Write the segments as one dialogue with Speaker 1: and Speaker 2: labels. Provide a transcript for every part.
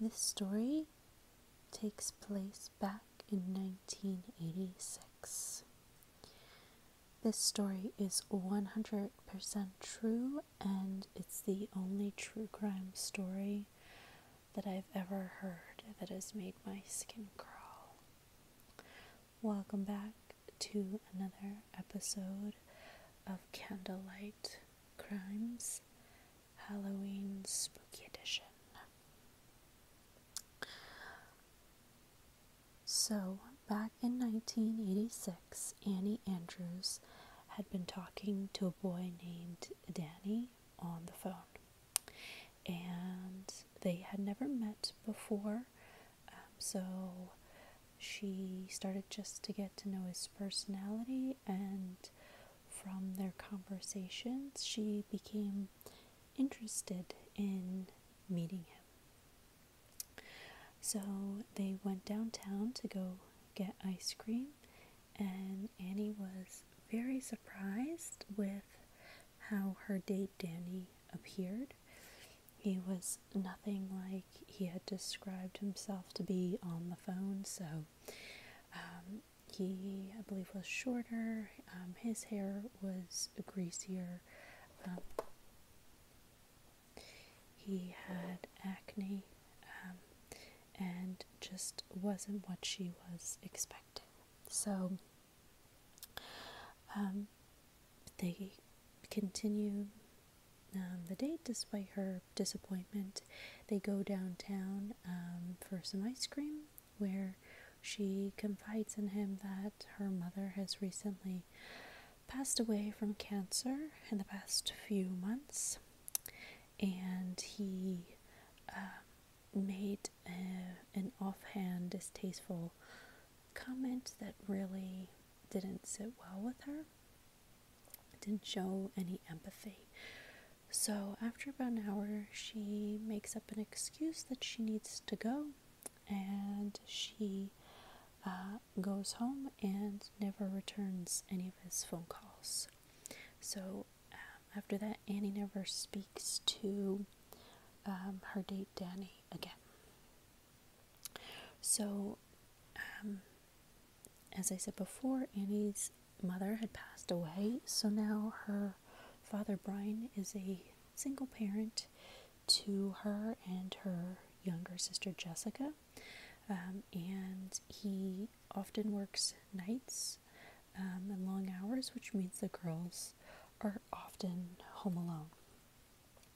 Speaker 1: This story takes place back in 1986. This story is 100% true, and it's the only true crime story that I've ever heard that has made my skin crawl. Welcome back to another episode of Candlelight. Crimes Halloween Spooky Edition. So, back in 1986, Annie Andrews had been talking to a boy named Danny on the phone. And they had never met before, um, so she started just to get to know his personality and from their conversations she became interested in meeting him so they went downtown to go get ice cream and annie was very surprised with how her date danny appeared he was nothing like he had described himself to be on the phone, so um, he, I believe, was shorter, um, his hair was greasier, um, he had acne, and just wasn't what she was expecting. So they continue um, the date despite her disappointment. They go downtown um, for some ice cream where she confides in him that her mother has recently passed away from cancer in the past few months and he um, made an offhand distasteful comment that really didn't sit well with her didn't show any empathy. So, after about an hour, she makes up an excuse that she needs to go and she uh, goes home and never returns any of his phone calls. So, um, after that, Annie never speaks to um, her date Danny again. So, um, as I said before, Annie's mother had passed away, so now her father, Brian, is a single parent to her and her younger sister, Jessica. Um, and he often works nights um, and long hours, which means the girls are often home alone.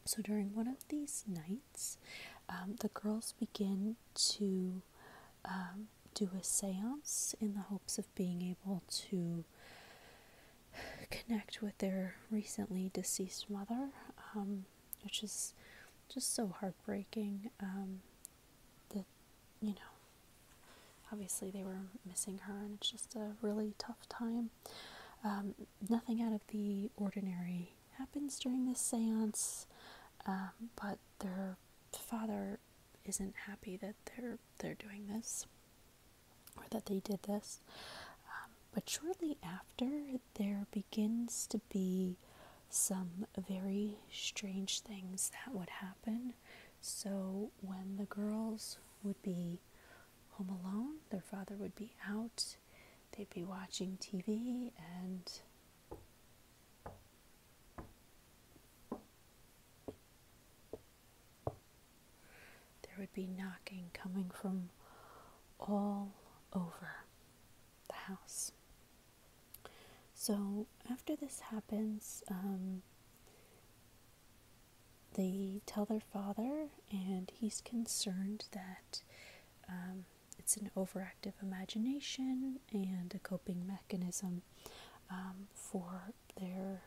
Speaker 1: So during one of these nights, um, the girls begin to um, do a seance in the hopes of being able to connect with their recently deceased mother, um, which is just so heartbreaking. that, you know, obviously they were missing her, and it's just a really tough time nothing out of the ordinary happens during this seance, um, but their father isn't happy that they're they're doing this or that they did this. Um, but shortly after, there begins to be some very strange things that would happen. So when the girls would be home alone, their father would be out They'd be watching TV and there would be knocking coming from all over the house. So after this happens, um, they tell their father, and he's concerned that um, it's an overactive imagination and a coping mechanism um, for their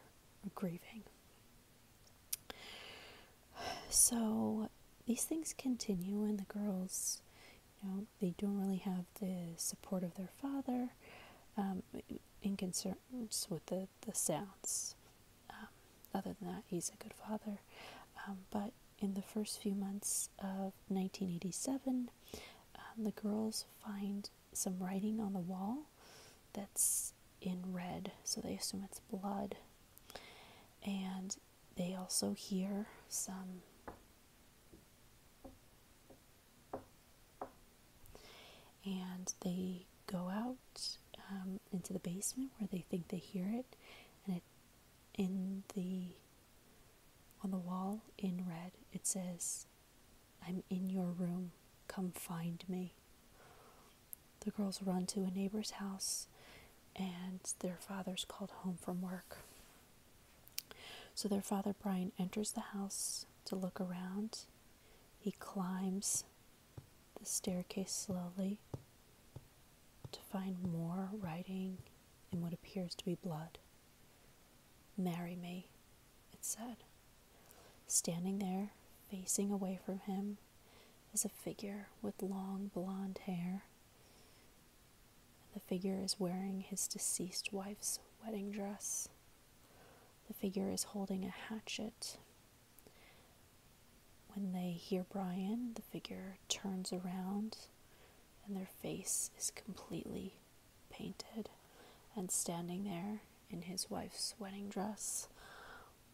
Speaker 1: grieving. So these things continue, and the girls, you know, they don't really have the support of their father um, in concerns with the the, sounds. Um, other than that, he's a good father. Um, but in the first few months of 1987, um, the girls find some writing on the wall that's in red, so they assume it's blood. And they also hear some and they go out um, into the basement where they think they hear it, and in the on the wall in red it says, "I'm in your room. Come find me." The girls run to a neighbor's house, and their father's called home from work. So their father Brian enters the house to look around. He climbs the staircase slowly to find more writing in what appears to be blood. Marry me, it said. Standing there, facing away from him, is a figure with long blonde hair. The figure is wearing his deceased wife's wedding dress. The figure is holding a hatchet when they hear Brian, the figure turns around and their face is completely painted. And standing there in his wife's wedding dress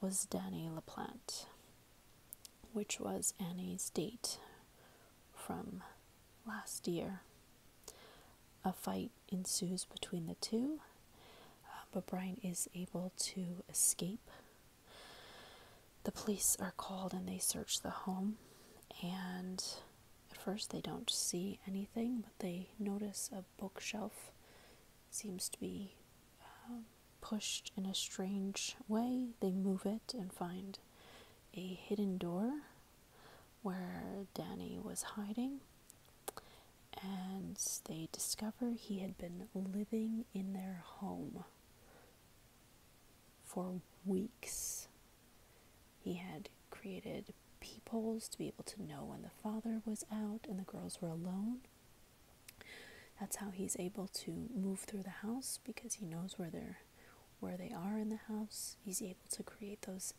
Speaker 1: was Danny LaPlante, which was Annie's date from last year. A fight ensues between the two, uh, but Brian is able to escape. The police are called and they search the home, and at first they don't see anything, but they notice a bookshelf seems to be um, pushed in a strange way. They move it and find a hidden door where Danny was hiding and they discover he had been living in their home for weeks. He had created peepholes to be able to know when the father was out and the girls were alone. That's how he's able to move through the house because he knows where they're where they are in the house. He's able to create those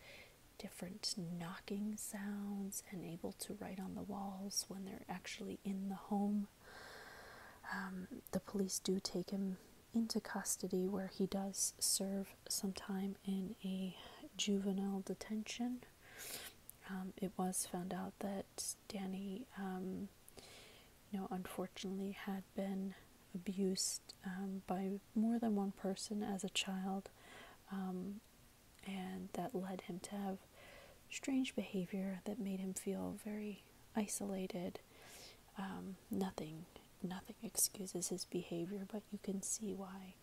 Speaker 1: different knocking sounds and able to write on the walls when they're actually in the home. Um, the police do take him into custody where he does serve some time in a juvenile detention. Um, it was found out that Danny, um, you know, unfortunately had been abused by more than one person as a child and that led him to have strange behavior that made him feel very isolated. Um, nothing, nothing excuses his behavior, but you can see why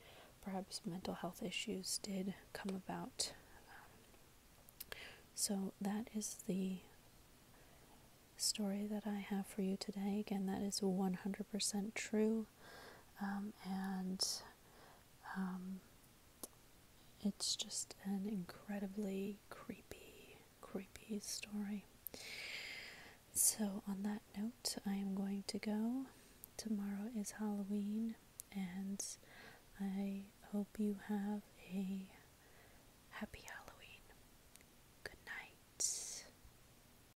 Speaker 1: perhaps mental health issues did come about. Um, so that is the story that I have for you today. Again, that is 100% true. Um, and um, it's just an incredibly creepy, creepy story. So, on that note, I am going to go. Tomorrow is Halloween, and I hope you have a happy Halloween. Good night.